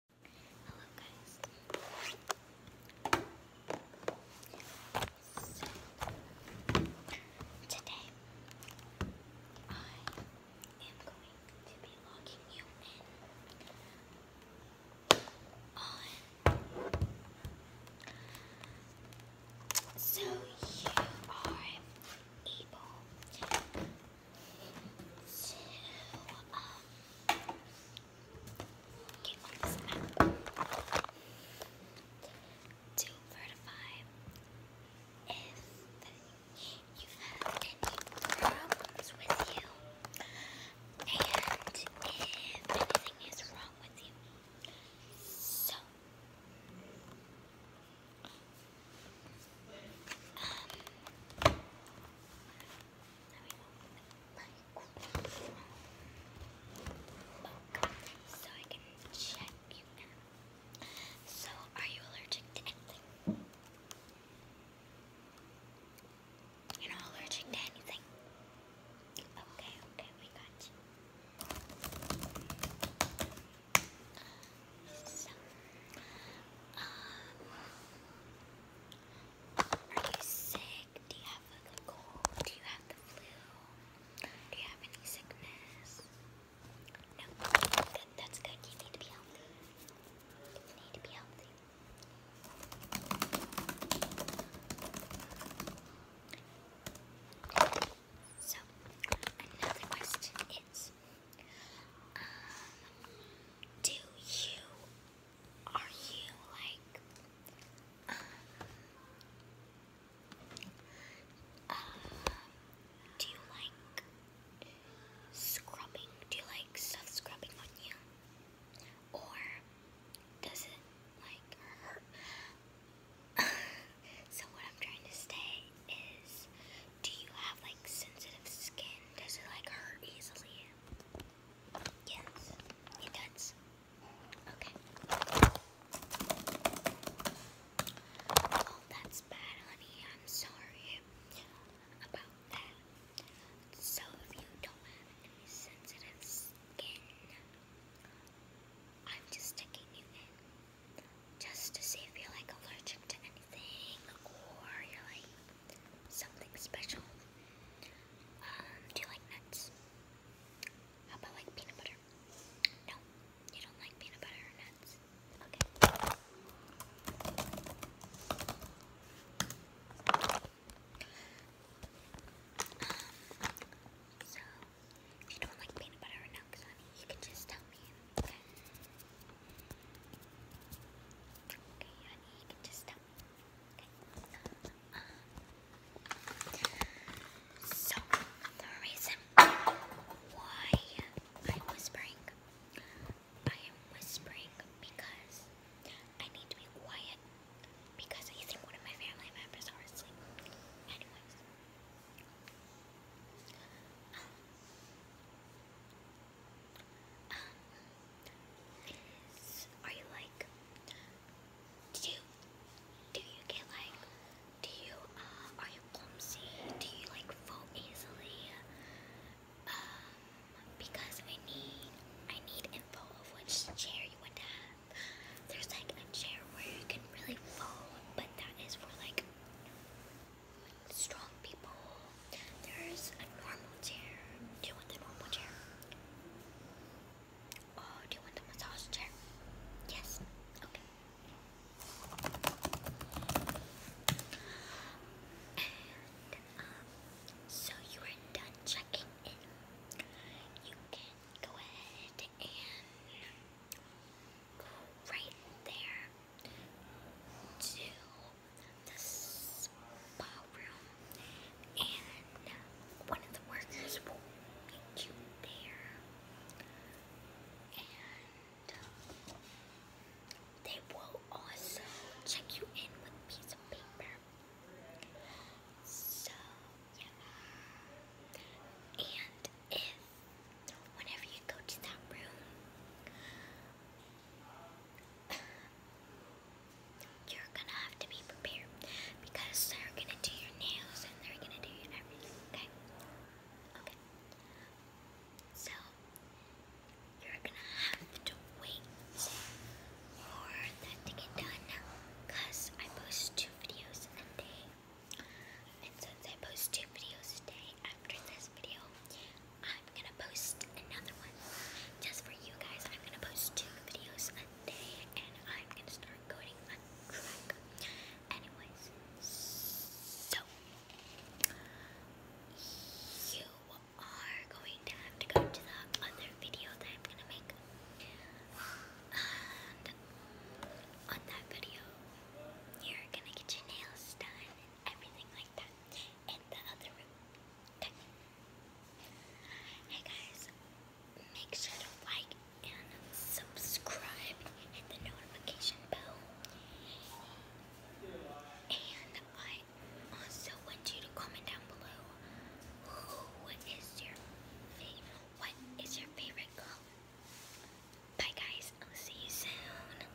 Hello today I am going to be logging you in so you are able um, get on this map to if you've had any problems with you and if anything is wrong with you. So, um, book you So, are you allergic to anything? You're not allergic to anything? Okay, okay, we got you. So, um, are you sick? Do you have a cold? Do you have the flu? Do you have any sickness? No. that's good. You need to be healthy. You need to be healthy. So, another question is, um, do you are you like um, uh, do you like scrubbing? Do you like stuff scrubbing on you? Or does it like hurt? so what I'm trying to say is do you have like sensitive skin? Does it like hurt easily? Yes, it does. Okay. Oh, that's bad, honey. I'm sorry about that. So, if you don't have any sensitive skin, I'm just sticking you in. Just to see if you're like allergic to anything or you're like something special. Um, do you like nuts? How about like peanut butter? No, you don't like peanut butter or nuts. Okay. Um, so, if you don't like peanut butter or nuts, you can just tell me. Okay, honey, you can just tell me. so, the reason why I'm whispering, I am whispering because I need to be quiet because I think one of my family members are asleep. Anyways. Um, is, are you like, do you, do you get like, do you, uh, are you clumsy? Do you like fall easily? Um, because I need, I need info of which chair you would have. There's like a chair where you can really fall, but that is for like strong people. There's a normal chair. Do you want the normal chair? Oh, do you want the massage chair? Yes. Okay. Um, so you are done checking in. You can go ahead and go right there the spa room, and one of the workers will meet you there, and they will also check you in with a piece of paper. So, And if, whenever you go to that room, You're gonna have to be prepared because they're gonna do your nails and they're gonna do everything, okay? Okay. So, you're gonna have to wait for that to get done because I post two videos a day. And since I post two videos a day after this video, I'm gonna post another one just for you guys. I'm gonna post two videos a day and I'm gonna start coding on track. Anyways, so you are going to have to go to the other video that I'm gonna make. on that video, you're gonna get your nails done and everything like that in the other room. Hey guys, make sure to like and subscribe, hit the notification bell, and I also want you to comment down below who is your favorite, what is your favorite color. Bye guys, I'll see you soon.